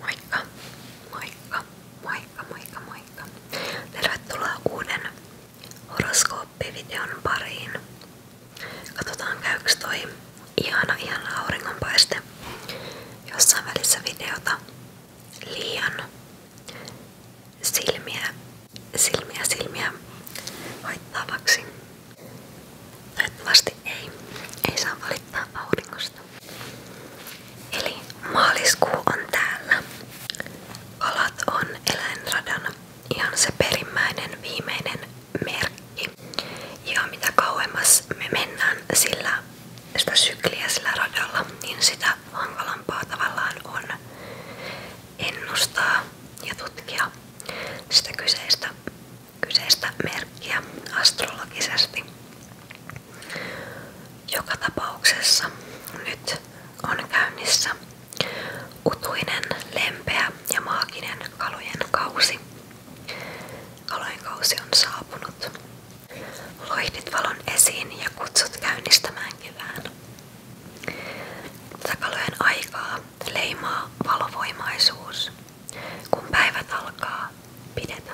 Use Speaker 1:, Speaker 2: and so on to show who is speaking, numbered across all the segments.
Speaker 1: Moikka, moikka, moikka, moikka, moikka. Tervetuloa uuden horoskooppivideon pariin. Katsotaan käyks toi ihana, ihana auringonpaiste jossain välissä videota liian silmiä, silmiä, silmiä haittaavaksi. Toivottavasti ei, ei saa valittaa auringosta. Eli maaliskuu on täällä. Kalat on eläinradan ihan se perimmäinen viimeinen merkki. Ja mitä kauemmas me mennään sillä sitä sykliä sillä radalla, niin sitä hankalampaa tavallaan on ennustaa ja tutkia sitä kyseistä kyseistä merkkiä astrologisesti. Joka tapauksessa nyt on käynnissä utuinen, lempeä ja maaginen kalojen kausi. Kalojen kausi on saapunut. Loihdit valon esiin ja kutsut käynnistämään kevään. Tätä kalojen aikaa leimaa valovoimaisuus. Kun päivät alkaa pidetä.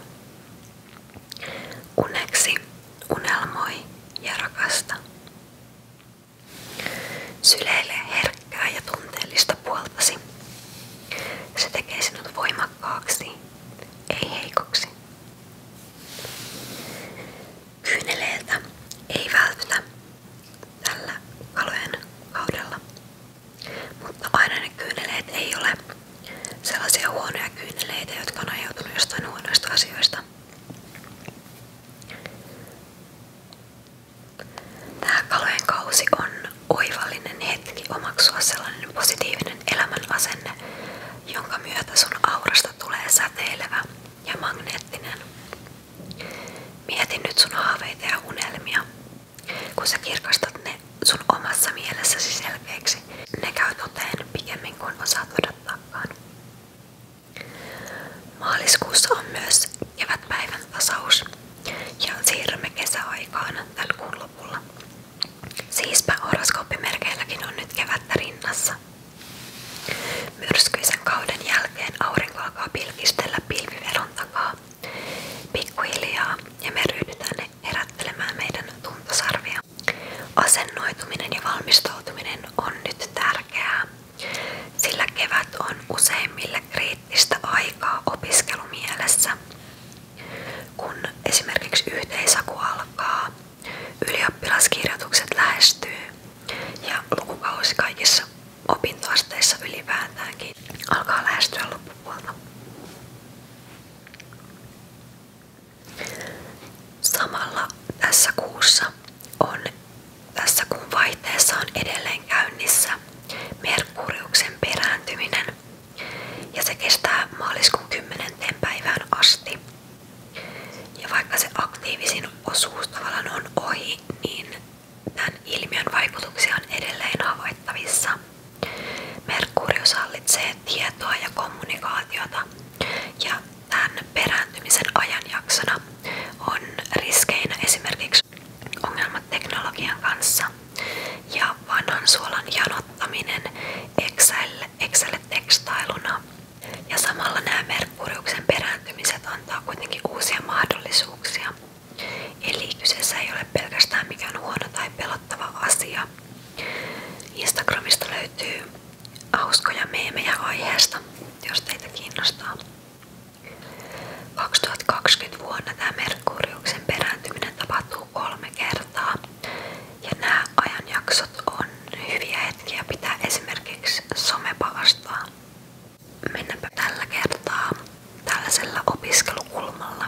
Speaker 1: Uneksi unelmoi ja rakasta. Syleile herkkää ja tunteellista puoltasi. Se tekee sinut voimakkaaksi, ei heikoksi. Kyyneleeltä ei vältytä tällä kalojen kaudella. Mutta aina ne kyyneleet ei ole sellaisia huonoja kyyneleitä, jotka on ajautunut jostain huonoista asioista. Tämä kalojen kausi on oivallinen hetki omaksua sellainen positiivinen elämän asenne, jonka myötä sun aurasta tulee säteilevä ja magneettinen. Mieti nyt sun haaveita ja unelmia kun sä kirkastat ne sun omassa mielessäsi selkeiksi, ne käy toteen pikemmin kuin osaat odottaakaan.
Speaker 2: Maaliskuussa on myös
Speaker 1: kevätpäivän tasaus ja siirrymme kesäaikaan tällä kuun lopulla. Siispä horoskooppimerkeilläkin on nyt kevättä rinnassa. Myrskyisen kauden jälkeen aurinko alkaa pilkistellä pilviveron takaa Pikkuhiljaa ja me ryhdytään herättelemään meidän tuntosarvia. Asennoituminen ja valmistautuminen on nyt tärkeää, sillä kevät on useimmille kriittistä aikaa opiskelumielessä. Kun esimerkiksi yhteisaku alkaa, ylioppilaskirjoitukset lähestyy ja lukukausi kaikissa opintoasteissa ylipäätäänkin alkaa lähestyä loppupuolta. Samalla tässä kuussa on, tässä kuun vaihteessa on edelleen käynnissä Merkuriuksen perääntyminen ja se kestää maaliskuun 10. päivään asti. Ja vaikka se aktiivisin osuus tavallaan on ohi, niin Tämän ilmiön vaikutuksia on edelleen havaittavissa. Merkurius hallitsee tietoa ja kommunikaatiota ja tämän perääntymisen ajanjaksona on riskeinä esimerkiksi ongelmat teknologian kanssa ja vanhan suolan janottaminen Excel-tekstailuna. Ja samalla nämä Merkuriuksen perääntymiset antaa kuitenkin uusia mahdollisuuksia. Eli kyseessä ei ole pelkästään mikään huono tai pelottava asia. Instagramista löytyy hauskoja meemejä aiheesta, jos teitä kiinnostaa. 2020 vuonna tämä Merkuriuksen perääntyminen tapahtuu kolme kertaa. Ja nämä ajanjaksot on hyviä hetkiä pitää esimerkiksi somepavastaa. Mennäänpä tällä kertaa tällaisella opiskelukulmalla.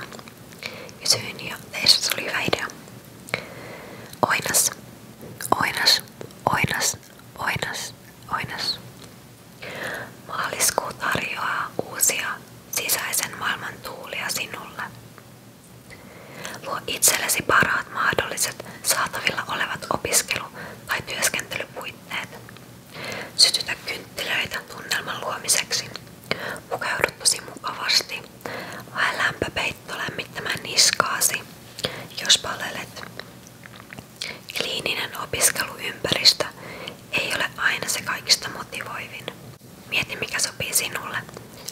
Speaker 1: Ja syyn ja teissä oli hyvä idea. Oinas, oinas, oinas, oinas, oinas. Maaliskuu tarjoaa uusia sisäisen maailman tuulia sinulle. Luo itsellesi parhaat mahdolliset saatavilla olevat opiskelu- tai työskentelypuitteet. Sytytä kynttilöitä tunnelman luomiseksi. Pukeudut tosi mukavasti. Hae lämpöpeitto lämmittämään niskaasi, jos palelet. Kliininen opiskeluympäristö ei ole aina se kaikista motivoivin. Mieti mikä sopii sinulle,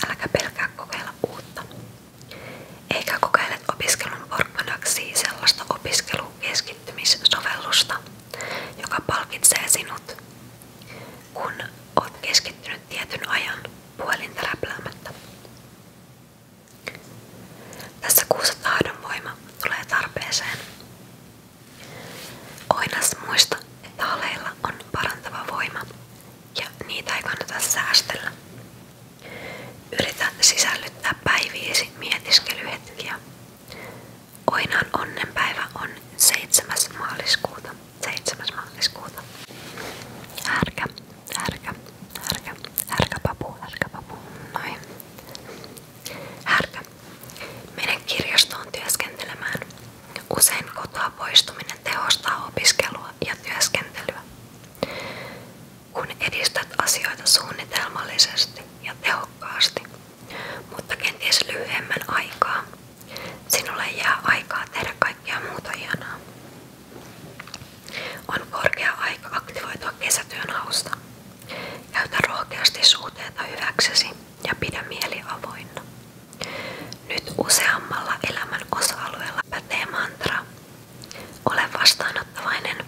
Speaker 1: äläkä pelkää kokeilla uutta. Eikä kokeile opiskelun porkkanaksi sellaista opiskelua keskittymissovellusta, joka palkitsee sinut, kun olet keskittynyt tietyn ajan puhelinta läpläämättä. Tässä kuussa tahdonvoima tulee tarpeeseen. Oinas muista, että haleilla on parantava voima ja niitä ei kannata säästellä. Yritä sisällyttää päiviisi mietiskelyhetkiä. Oinan onnenpäivä on 7. maaliskuuta. 7. maaliskuuta. Härkä, härkä, härkä, härkäpapu, härkäpapu, noin. Härkä. Mene kirjastoon työskentelemään. Usein kotoa poistuminen tehostaa opiskelua ja työskentelyä kun edistät asioita suunnitelmallisesti ja tehokkaasti, mutta kenties lyhyemmän aikaa, sinulle jää aikaa tehdä kaikkea muuta hienoa. On korkea aika aktivoitua kesätyön hausta. Käytä rohkeasti suhteita hyväksesi ja pidä mieli avoinna. Nyt useammalla elämän osa-alueella pätee mantra ole vastaanottavainen,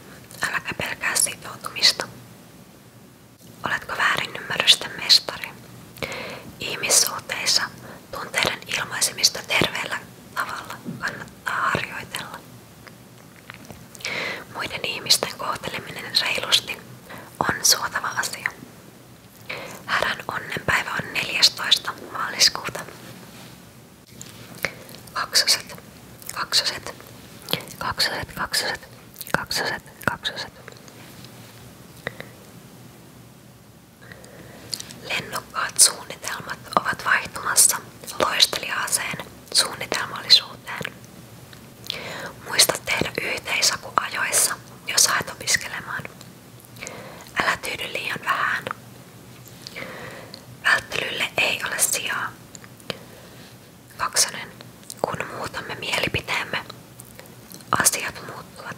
Speaker 1: äläkä pelkää sitoutumista. Oletko väärin ymmärrysten mestari? Ihmissuhteissa tunteiden ilmaisemista terveellä tavalla kannattaa harjoitella. Muiden ihmisten kohteleminen reilusti on suotava asia. Härän onnenpäivä on 14. maaliskuuta kaksoset, kaksoset, kaksoset, kaksoset, kaksoset, kaksoset. Lennokkaat suunnitelmat ovat vaihtumassa loisteliaaseen suunnitelmallisuuteen. Muista tehdä yhteisaku ajoissa, jos haet opiskelemaan. Älä tyydy liian vähän, Välttelylle ei ole sijaa. Kaksonen. Kun muutamme mielipiteemme, asiat muuttuvat.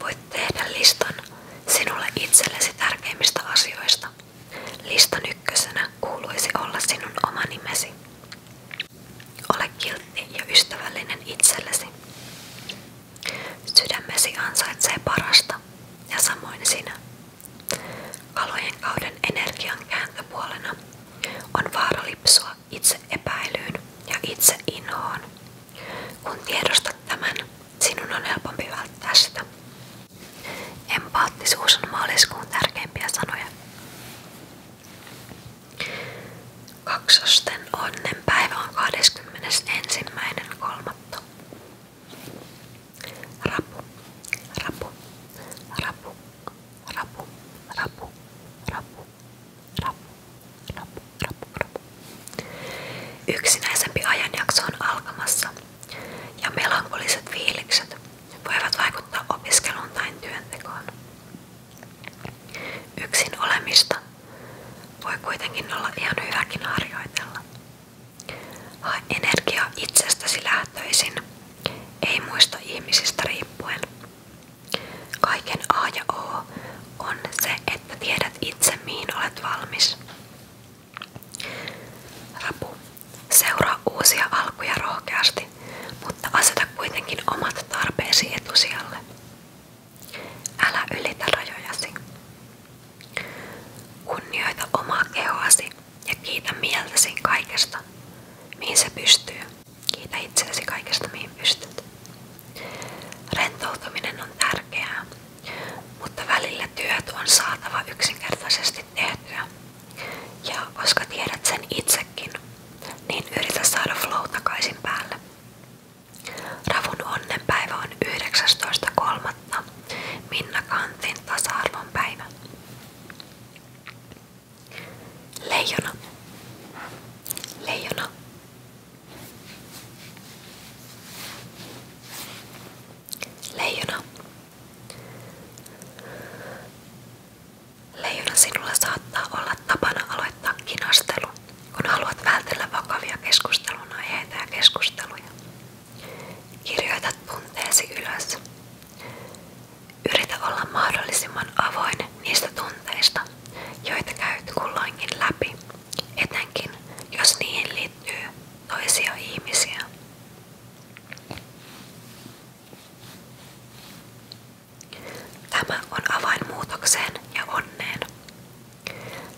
Speaker 1: Voit tehdä listan sinulle itsellesi tärkeimmistä asioista. Listan ykkösenä kuuluisi olla sinun oma nimesi. Ole kiltti ja ystävällinen itsellesi. Sydämesi ansaitsee parasta ja samoin sinä. Kalojen kauden energian kääntöpuolena on vaara lipsua itse epäilyyn ja itse inhoon. Kun tiedostat tämän, sinun on helpompi välttää sitä. Empaattisuus on maaliskuun tärkeimpiä sanoja. Kaksosten onnen päivä on 21.3. Rapu, rapu, rapu, rapu, rapu, rapu, rapu, rapu, rapu, rapu. Yksinäisempi ajanjakso on alkamassa ja melankoliset fiilikset voivat vaikuttaa opiskeluun tai työntekoon. Yksin olemista voi kuitenkin olla ihan hyväkin harjoitella. Hae energia itsestäsi lähtöisin, ei muista ihmisistä riippuen. Kaiken A ja O on se, että tiedät itse mihin olet valmis. Rapu. Seuraa uusia alkuja rohkeasti, mutta aseta kuitenkin omat tarpeesi etusijalle. Älä ylitä rajojasi. Kunnioita omaa kehoasi ja kiitä mieltäsi kaikesta, mihin se pystyy. Kiitä itseäsi kaikesta, mihin pystyt. Rentoutuminen on tärkeää, mutta välillä työt on saatava yksinkertaisesti tehtyä. Ja koska tiedät sen itsekin, niin yritä saada flow takaisin päälle. Ravun onnenpäivä on 19.3. Minna Kantin tasa päivä. Leijona. Leijona. Leijona. Leijona sinulla saattaa olla tapana aloittaa kinastelu kun haluat vältellä vakavia keskustelun aiheita ja keskusteluja. Kirjoita tunteesi ylös. Yritä olla mahdollisimman avoin niistä tunteista, joita käyt kulloinkin läpi, etenkin jos niihin liittyy toisia ihmisiä. Tämä on avain muutokseen ja onneen.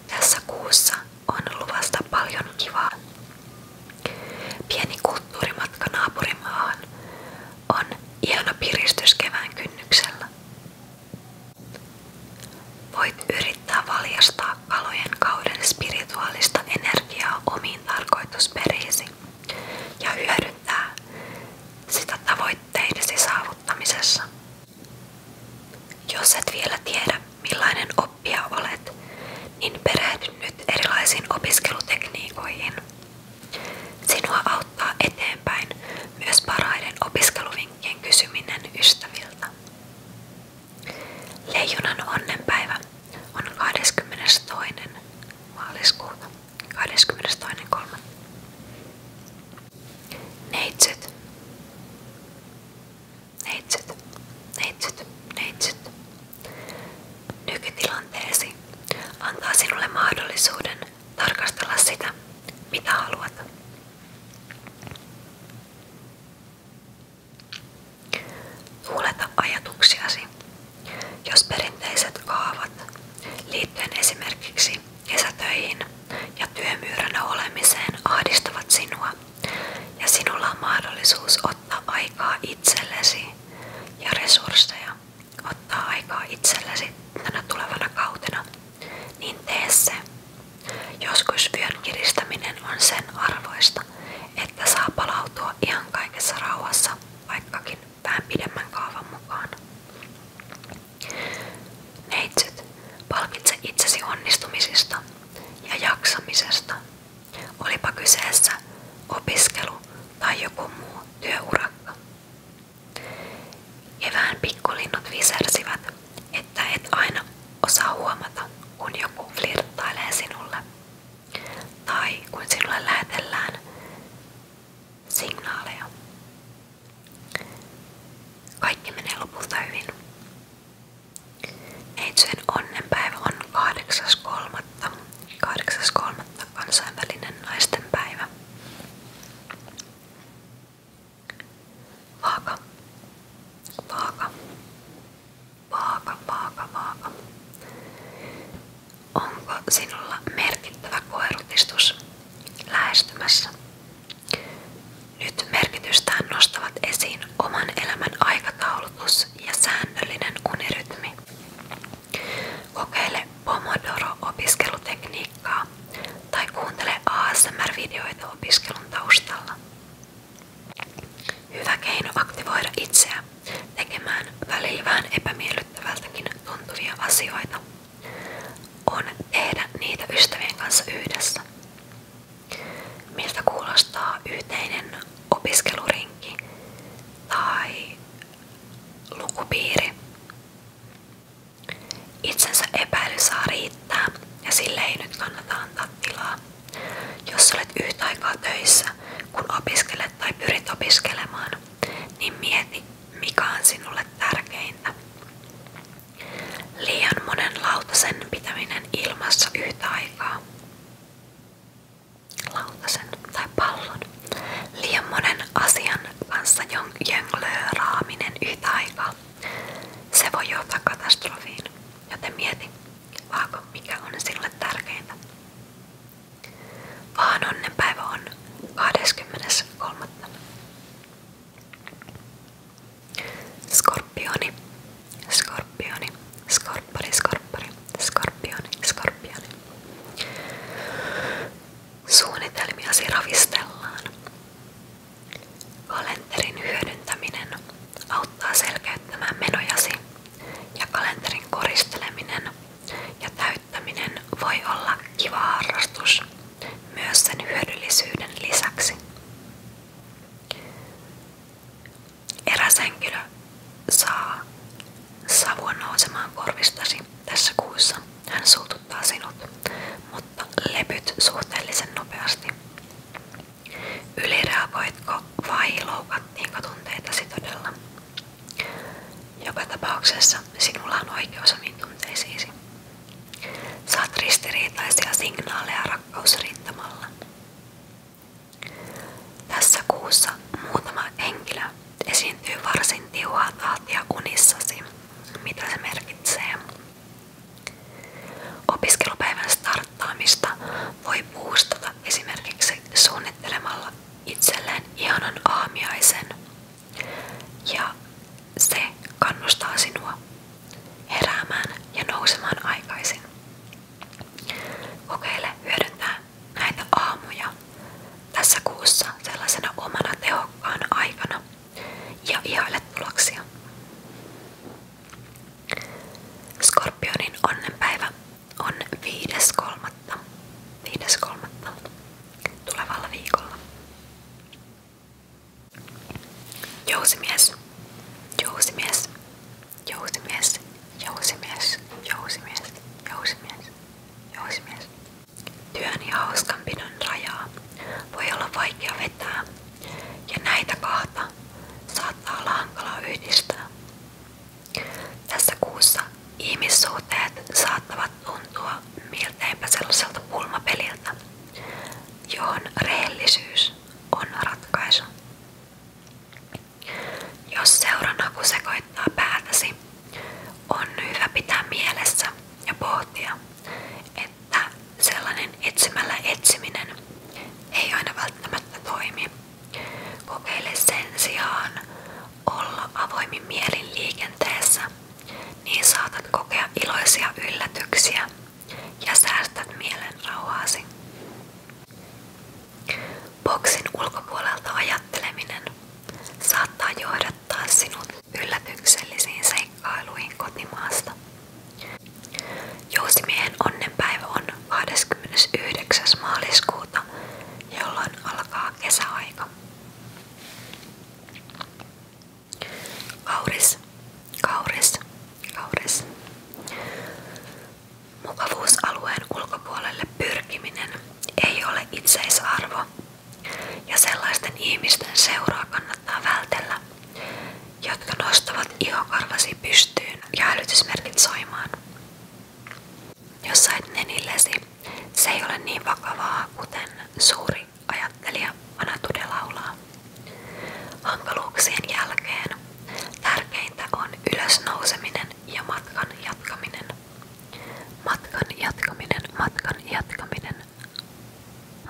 Speaker 1: Tässä kuussa on luvasta paljon kivaa. Pieni kulttuurimatka naapurimaahan on ihana piristys kevään kynnyksellä. Voit yrittää valjastaa kalojen kauden spirituaalista energiaa omiin tarkoitusperiisi ja hyödyntää sitä tavoitteidesi saavuttamisessa. Jos et vielä tiedä, millainen oppija olet, niin perehdy nyt erilaisiin opiskelutekniikoihin. Sinua auttaa eteenpäin myös parhaiden opiskeluvinkkien kysyminen ystäviltä. Leijonan onnenpäivä on 22. maaliskuuta 22.3. Neitsyt. Neitsyt. Neitsyt. Neitsyt. Nykytilanteesi antaa sinulle mahdollisuuden tarkastella sitä, mitä haluat. Tuuleta ajatuksiasi. Jos perinteiset kaavat liittyen esimerkiksi kesätöihin ja työmyyränä olemiseen ahdistavat sinua, ja sinulla on mahdollisuus ottaa aikaa itsellesi ja resursseja ottaa aikaa itsellesi tänä tulevana kautena, niin tee se. Joskus vyön kiristäminen on sen arvoista, että saa palautua ihan kaikessa rauhassa, vaikkakin vähän pidemmän kaavan mukaan. Neitsyt, palkitse itsesi onnistumisista ja jaksamisesta. Olipa kyseessä opiskelu tai joku muu työurakka. Kevään pikkulinnut visersivät, että et aina osaa huomata, kun joku flirttailee sinulle. Tai kun sinulle lähetellään signaaleja. Kaikki menee lopulta hyvin. Neitsyjen onnenpäivä on 8.3. 8.3. kansainvälinen naistenpäivä. Vaaka. Vaaka. Vaaka, vaaka, vaaka. Onko sinulla merkittävä koerutistus lähestymässä? Nyt merkitystään nostavat esiin oman elämän aikataulutus ja säännöllinen unirytmi. Kokeile Pomodoro-opiskelutekniikkaa tai kuuntele ASMR-videoita opiskelun taustalla. Hyvä keino aktivoida itseä tekemään välillä vähän epämiellyttävältäkin on tehdä niitä ystävien kanssa yhdessä. Miltä kuulostaa yhteinen opiskelurinki tai lukupiiri? Itsensä epäily saa riittää ja sille ei nyt kannata antaa tilaa. Jos olet yhtä aikaa töissä, kun opiskelet tai pyrit opiskelemaan, niin mieti, mikä on sinulle tärkeintä. Liian monen lautasen pitäminen ilmassa yhtä aikaa. Lautasen tai pallon. Liian monen asian kanssa jonglööraaminen yhtä aikaa. Se voi johtaa katastrofiin, joten mieti, vaako mikä on sinulle tärkeintä. Vaan onnen päivä on 23. Skorpioni, skorpioni, skorppari, skorppari, skorpioni, skorpioni. Suunnitelmiasi ravistellaan. Kalenterin hyödyntäminen auttaa selkeyttämään menojasi ja kalenterin koristeleminen ja täyttäminen voi olla kiva harrastus myös sen hyödyllisyyden lisäksi. Eräs henkilö saa savua nousemaan korvistasi tässä kuussa. Hän suututtaa sinut, mutta lepyt suhteellisen nopeasti. Ylireagoitko vai loukattiinko tunteitasi todella? Joka tapauksessa sinulla on oikeus omiin tunteisiisi. Saat ristiriitaisia signaaleja rakkausrintamalla. Tässä kuussa muutama henkilö esiintyy varsin tiuhaa tahtia unissasi, mitä se merkitsee. Opiskelupäivän starttaamista voi puustata esimerkiksi suunnittelemalla itselleen ihanan aamiaisen ja se kannustaa sinua heräämään ja nousemaan aikaisin. Kokeile hyödyntää näitä aamuja tässä kuussa sellaisena omana tehokkaana aikana ja ihaile tuloksia. Skorpionin onnenpäivä on 5.3. 5.3 tulevalla viikolla. Jousimies, jousimies, jousimies, jousimies, jousimies, jousimies, jousimies. Työn ja hauskanpidon rajaa voi olla vaikea vetää, ja näitä kahta saattaa olla hankala yhdistää. Tässä kuussa ihmissuhteet saattavat tuntua milteipä sellaiselta pulmapeliltä, johon rehellisyys on ratkaisu. Jos seuranhaku sekoittaa päätäsi, on hyvä pitää mielessä ja pohtia, että sellainen etsimällä etsiminen ei aina välttämättä toimi. Kokeile sen sijaan olla avoimin mielin liikenteessä, niin saatat kokea iloisia yllätyksiä ja säästät mielen rauhaasi. Boksin ulkopuolelta ajatteleminen saattaa johdattaa sinut yllätyksellisiin seikkailuihin kotimaasta. onnenpäivä on 29. maaliskuuta, jolloin alkaa kesäaika. Kauris, kauris, kauris. Mukavuusalueen ulkopuolelle pyrkiminen ei ole itseisarvo ja sellaisten ihmisten seuraa kannattaa vältellä, jotka nostavat ihokarvasi pystyyn ja hälytysmerkit soimaan. Jos sait nenillesi, se ei ole niin vakavaa, kuten suuri ajattelija Anatude laulaa. Hankaluuksien jälkeen tärkeintä on ylösnouseminen ja matkan jatkaminen. Matkan jatkaminen, matkan jatkaminen.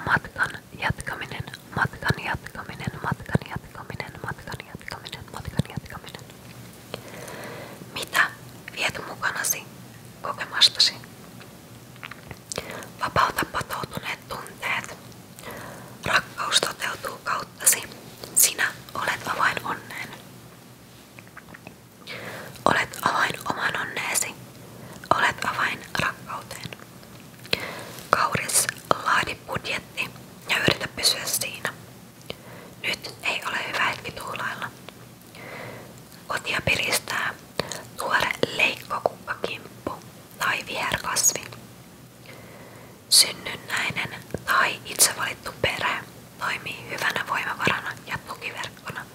Speaker 1: Matkan jatkaminen, matkan jatkaminen, matkan jatkaminen, matkan jatkaminen, matkan jatkaminen. Mitä viet mukanasi kokemastasi? Vapauta patoutuneet tunteet. Rakkaus toteutuu kauttasi. Sinä olet avain onneen. Olet avain oman onneesi. Olet avain rakkauteen. Kauris, laadi budjetti ja yritä pysyä siinä. Nyt ei ole hyvä hetki tuhlailla. Kotia piristää tuore leikkokukkakimpu tai viherkasvi. Synnynnäinen tai itse valittu perhe toimii hyvänä voimavarana ja tukiverkkona,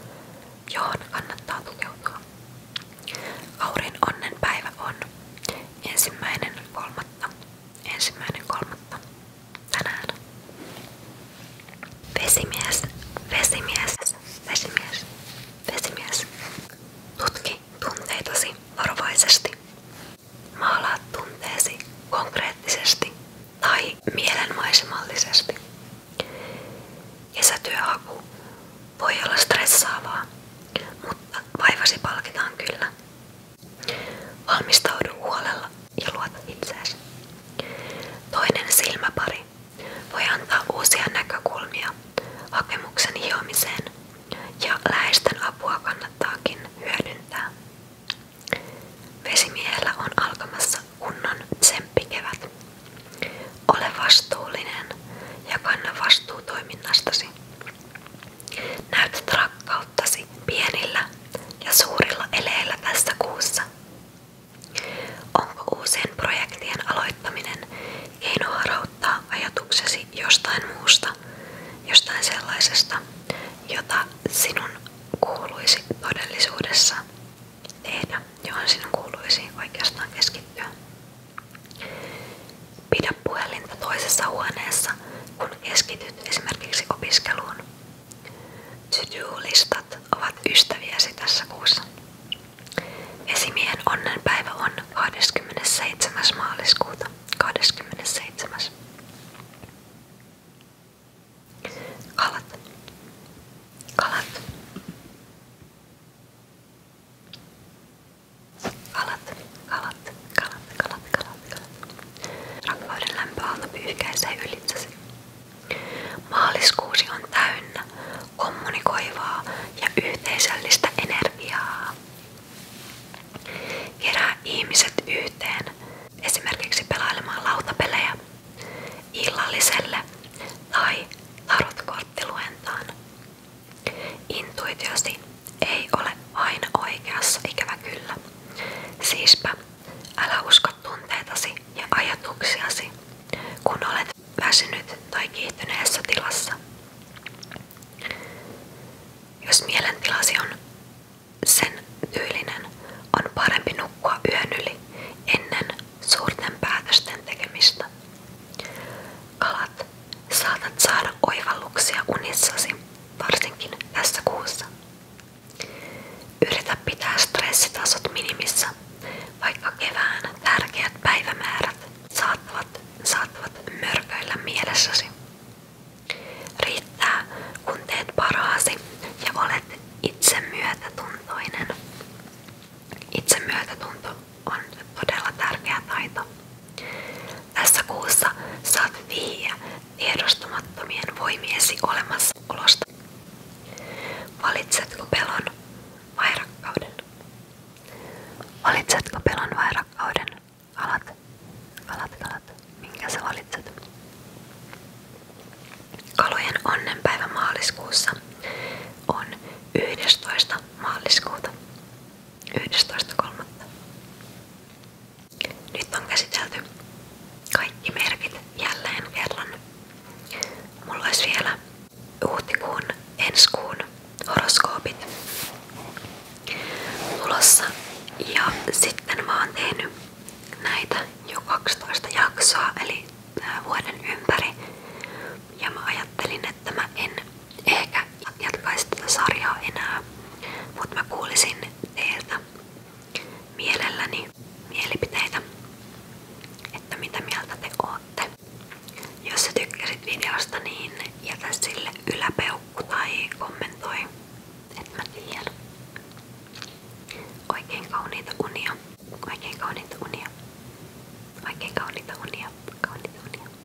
Speaker 1: johon kannattaa tukeutua. Aurin onnen päivä on ensimmäinen kolmatta. Ensimmäinen kolmatta tänään. Vesimies, vesimies, vesimies, vesimies. Tutki tunteitasi varovaisesti. Maalaa tunteesi konkreettisesti tai mielenmaisemallisesti. Kesätyöhaku voi olla stressaavaa, mutta vaivasi palkitaan kyllä. Valmistaudu huolella ja luota itseesi. Toinen silmäpari voi antaa uusia näkökulmia hakemuksen hiomiseen ja läheisten apua kannattaakin hyödyntää. Vesimiehellä on alkamassa kunnon tsemppikevät. Ole vastuullinen ja kanna vastuu toiminnastasi. Näytät rakkautta siuttasi pienillä ja suurilla eleillä tässä kuussa. Onko uusien projektien aloittaminen keino ajatuksesi jostain muusta, jostain sellaisesta, jota sinun kuuluisi todellisuudessa tehdä, johon sinun kuuluisi oikeastaan keskittyä? Pidä puhelinta toisessa huoneessa, kun keskityt liittynyt esimerkiksi opiskeluun. To-do-listat ovat ystäviäsi tässä kuussa. Esimiehen onnenpäivä on 27. maaliskuuta. 27. Kalat. Kalat. Kalat, kalat, Rakkauden lämpöaalto pyyhkäisee ylitsesi. Maaliskuusi on täynnä kommunikoivaa ja yhteisöllistä energiaa. Kerää ihmiset yhteen, esimerkiksi pelailemaan lautapelejä, illalliselle tai tarotkorttiluentaan. Intuitiosi ei ole aina oikeassa ikävä kyllä. Siispä älä usko tunteitasi ja ajatuksiasi, kun olet väsynyt tai kiihtyneessä tilassa. Jos mielentilasi on sen tyylinen, on parempi nukkua yön yli ennen suurten päätösten tekemistä. Kalat Saatat saada oivalluksia unissasi, varsinkin tässä kuussa. Yritä pitää stressitasot minimissä, vaikka kevään tärkeät päivämäärät saattavat, saattavat mörköillä mielessäsi. Riittää, kun teet parhaasi ja olet itse myötätuntoinen. Itse myötätunto on todella tärkeä taito. Tässä kuussa saat vihjeä tiedostamattomien voimiesi olemassaolosta. Valitsetko pelon vai rakkauden? Valitsetko pelon vai rakkauden? Alat, alat, alat. Minkä sä valitset? Kalojen onnenpäivä maaliskuussa on 11. maaliskuuta. 11.3. Nyt on käsitelty kaikki merkit jälleen kerran. Mulla olisi vielä huhtikuun, ensi kuun horoskoopit Ja sitten mä näitä jo jaksoa, eli vuoden ympäri. Ja mä ajattelin, että mä en ehkä jatkaisi tätä sarjaa enää, mutta mä kuulisin teiltä mielelläni mielipiteitä, että mitä mieltä te ootte. Jos sä tykkäsit videosta, niin jätä sille yläpeukku tai kommentoi, että mä tiedän. Oikein kauniita unia. Oikein kauniita unia. Oikein kauniita unia. Kauniita unia.